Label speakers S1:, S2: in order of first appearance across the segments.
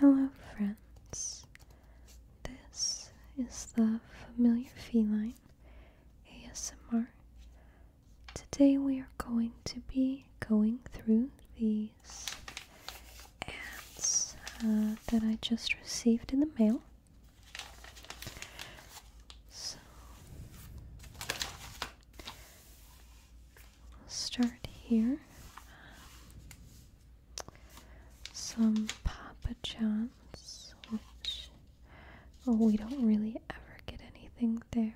S1: Hello, friends. This is the Familiar Feline ASMR. Today we are going to be going through these ads uh, that I just received in the mail. So we'll start here. Some Papa John's, which oh, we don't really ever get anything there.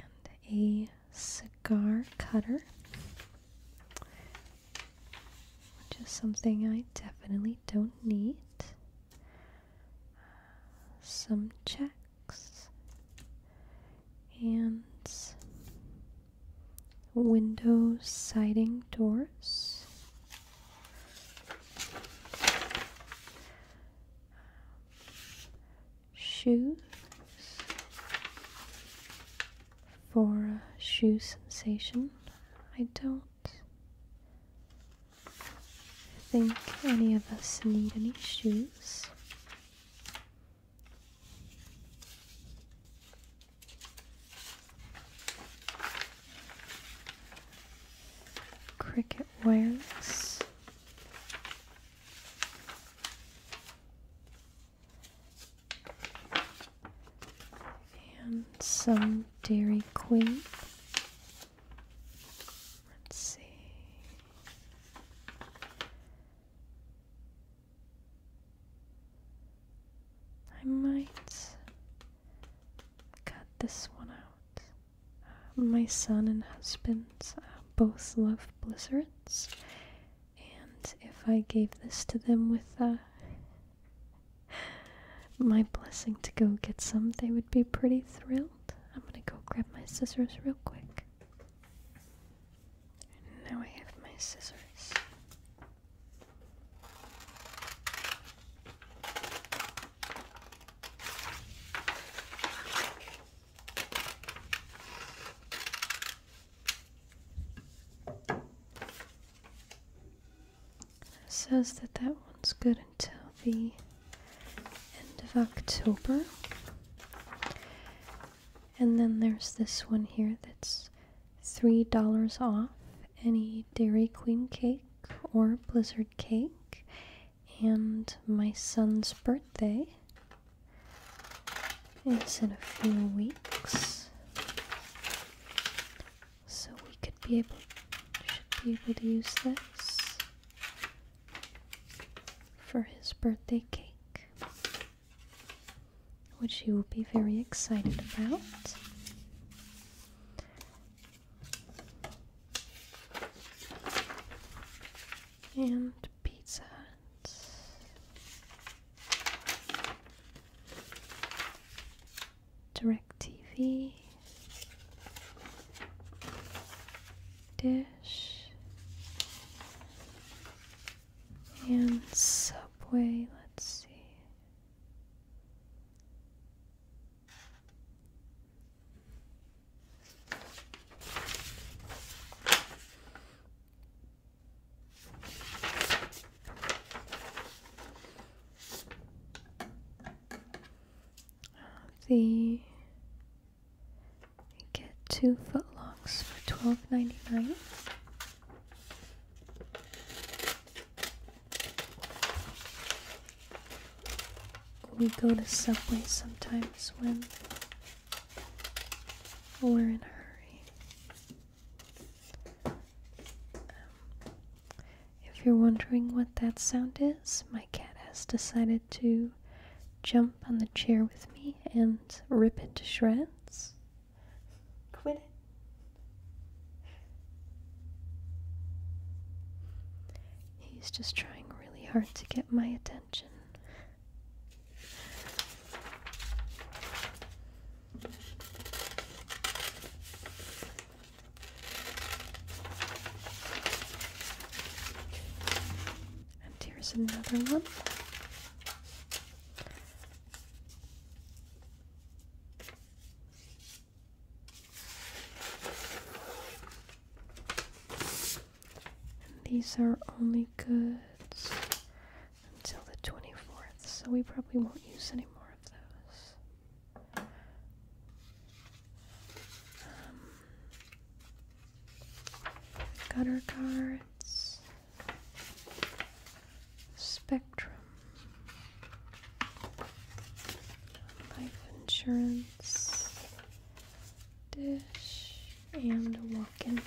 S1: And a cigar cutter which is something I definitely don't need. Some checks and window siding doors. Shoes for a shoe sensation. I don't think any of us need any shoes. Cricket wireless. And some Dairy Queen. Let's see. I might cut this one out. Uh, my son and husband uh, both love blizzards, and if I gave this to them with a. Uh, my blessing to go get some. They would be pretty thrilled. I'm gonna go grab my scissors real quick. now I have my scissors says that that one's good until the end of October. And then there's this one here that's $3 off any Dairy Queen cake or Blizzard cake and my son's birthday is in a few weeks. So we could be able should be able to use this for his birthday cake. Which he will be very excited about. And Pizza Hut. DirecTV, Dish, and Subway. Let's see. We get two footlongs for twelve ninety nine. We go to Subway sometimes when we're in a hurry. Um, if you're wondering what that sound is, my cat has decided to jump on the chair with me and rip it to shreds. Quit it. He's just trying really hard to get my attention. And here's another one. these are only goods until the 24th, so we probably won't use any more of those. Um, gutter cards, spectrum, life insurance, dish, and walk in time.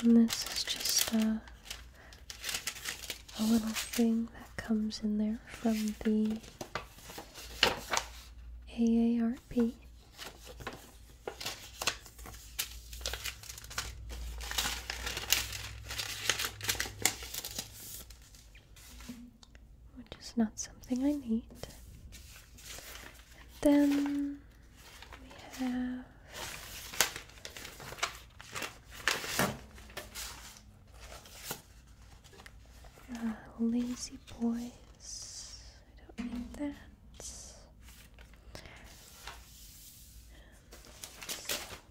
S1: And this is just a, a little thing that comes in there from the AARP. Which is not something I need. And then we have uh, lazy boys. I don't need that.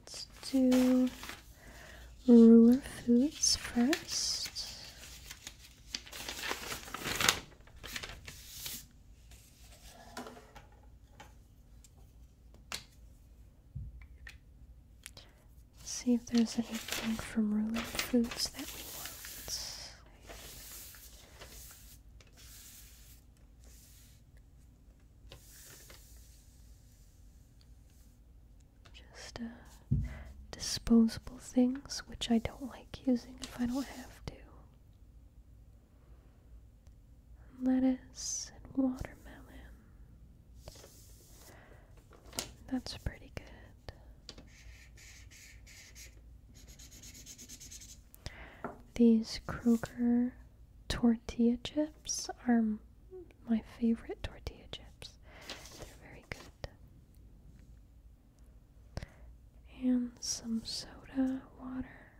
S1: Let's do ruler foods first. see if there's anything from ruler foods that we want. Just uh, disposable things, which I don't like using if I don't have to. Lettuce and watermelon. That's pretty good. These Kroger tortilla chips are my favorite tortilla chips. They're very good. And some soda water.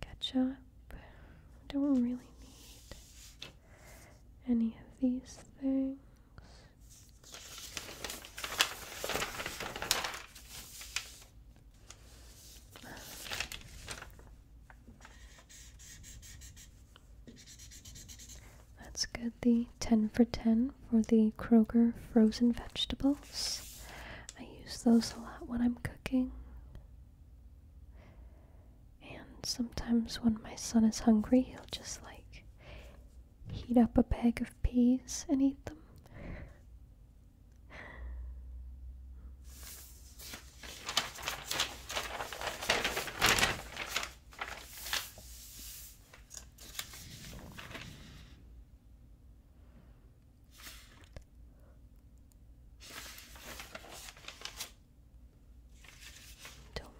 S1: Ketchup. I don't really need any of these things. Let's get the 10 for 10 for the Kroger frozen vegetables. I use those a lot when I'm cooking. And sometimes when my son is hungry, he'll just like heat up a bag of peas and eat them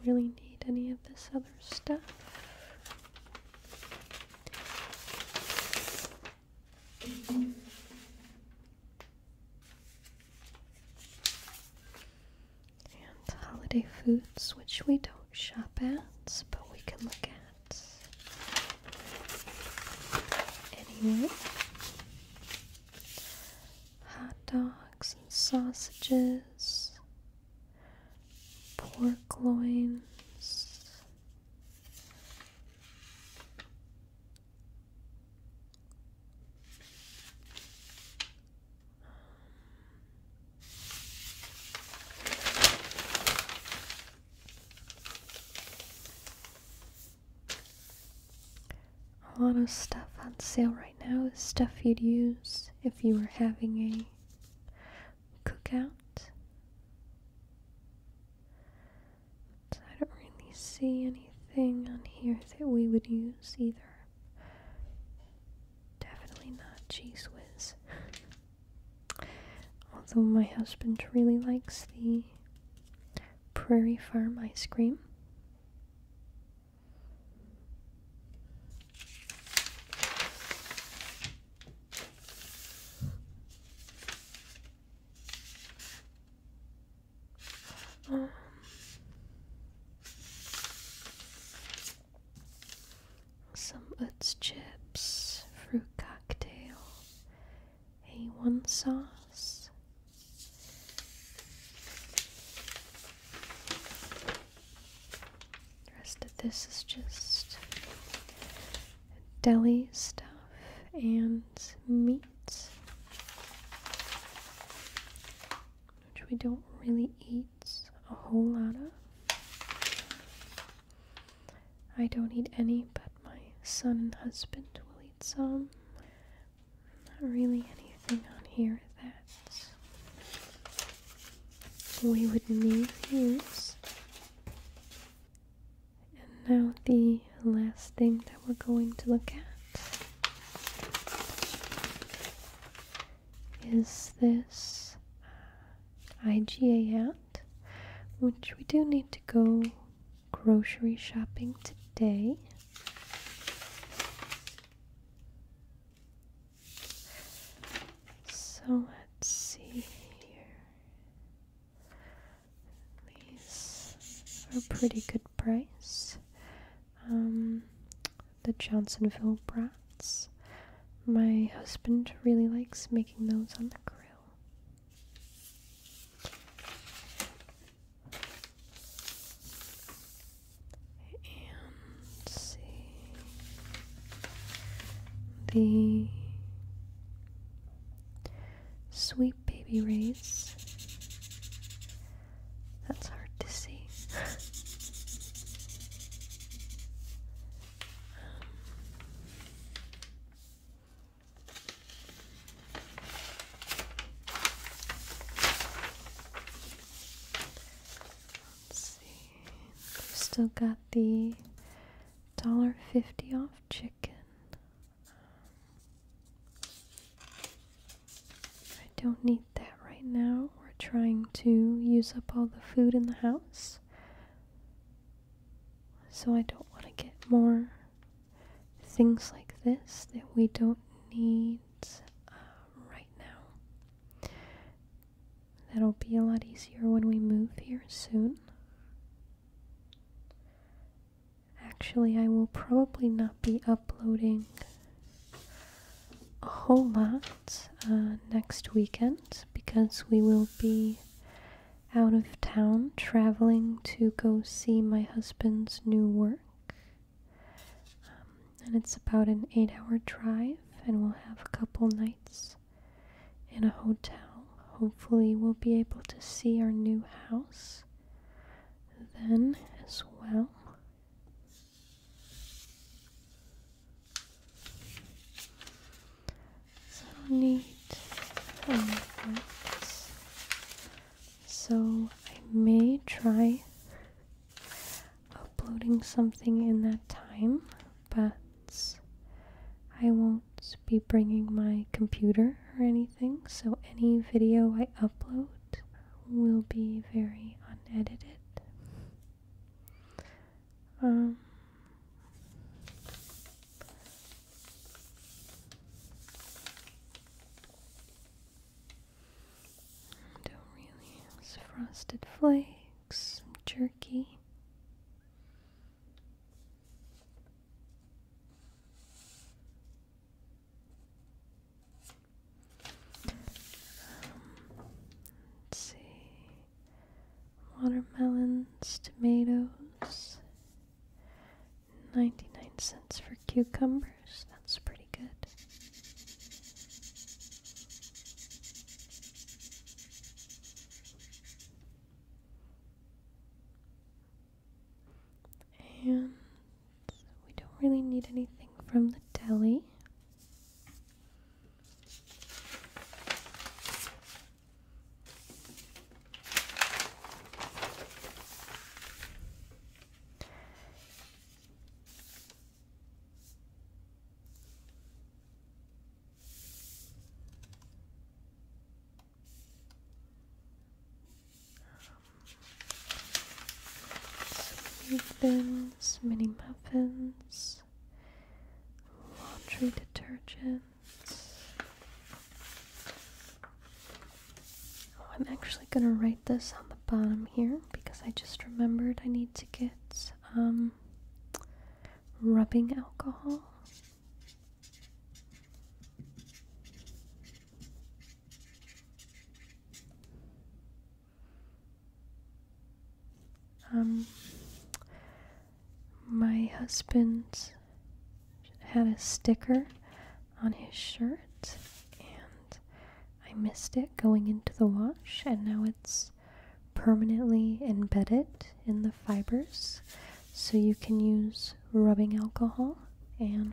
S1: really need any of this other stuff. And holiday foods, which we don't shop at, but we can look at anyway. Hot dogs and sausages, pork loins, a lot of stuff on sale right now is stuff you'd use if you were having a cookout. I don't really see anything on here that we would use either. Definitely not cheese whiz. Although my husband really likes the Prairie Farm ice cream. Um, some Utz chips, fruit cocktail, A1 sauce. The rest of this is just deli stuff and meat, which we don't really eat a whole lot of. I don't eat any, but my son and husband will eat some. Not really anything on here that we would need these, And now, the last thing that we're going to look at is this uh, IGA hat, which we do need to go grocery shopping today. So let's see here. These are a pretty good price. Um, the Johnsonville brats. My husband really likes making those on the grill and see the sweet baby rays. That's hard to see. Um, let's see we've still got the dollar fifty off chicken. I don't need that right now. We're trying to use up all the food in the house. So I don't want to get more things like this that we don't need uh, right now. That'll be a lot easier when we move here soon. Actually, I will probably not be uploading a whole lot uh, next weekend because we will be out of town traveling to go see my husband's new work. Um, and it's about an eight hour drive, and we'll have a couple nights in a hotel. Hopefully, we'll be able to see our new house then as well. So neat. so I may try uploading something in that time, but I won't be bringing my computer or anything, so any video I upload will be very unedited. Um, don't really frosted flakes jerky. let's see. Watermelons, tomatoes, 99 cents for cucumbers. That's pretty good. And we don't really need anything from the deli leave mini muffins, laundry detergent. Oh, I'm actually gonna write this on the bottom here because I just remembered I need to get um rubbing alcohol. Um, my husband had a sticker on his shirt, and I missed it going into the wash, and now it's is permanently embedded in the fibers. So you can use rubbing alcohol and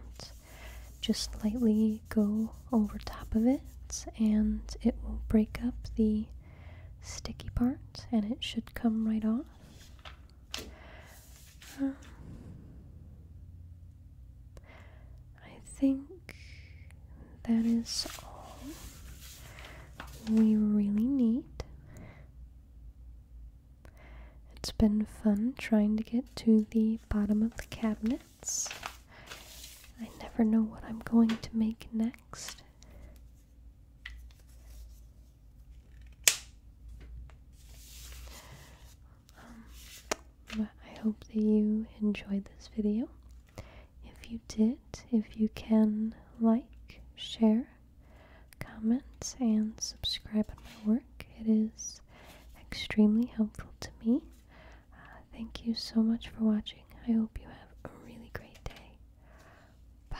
S1: just lightly go over top of it, and it will break up the sticky part and it should come right off. Um, I think that is all we really need. It's been fun trying to get to the bottom of the cabinets. I never know what I'm going to make next. Um, but I hope that you enjoyed this video. If you did, if you can like, share, comment, and subscribe on my work, it is extremely helpful to me. Uh, thank you so much for watching. I hope you have a really great day. Bye.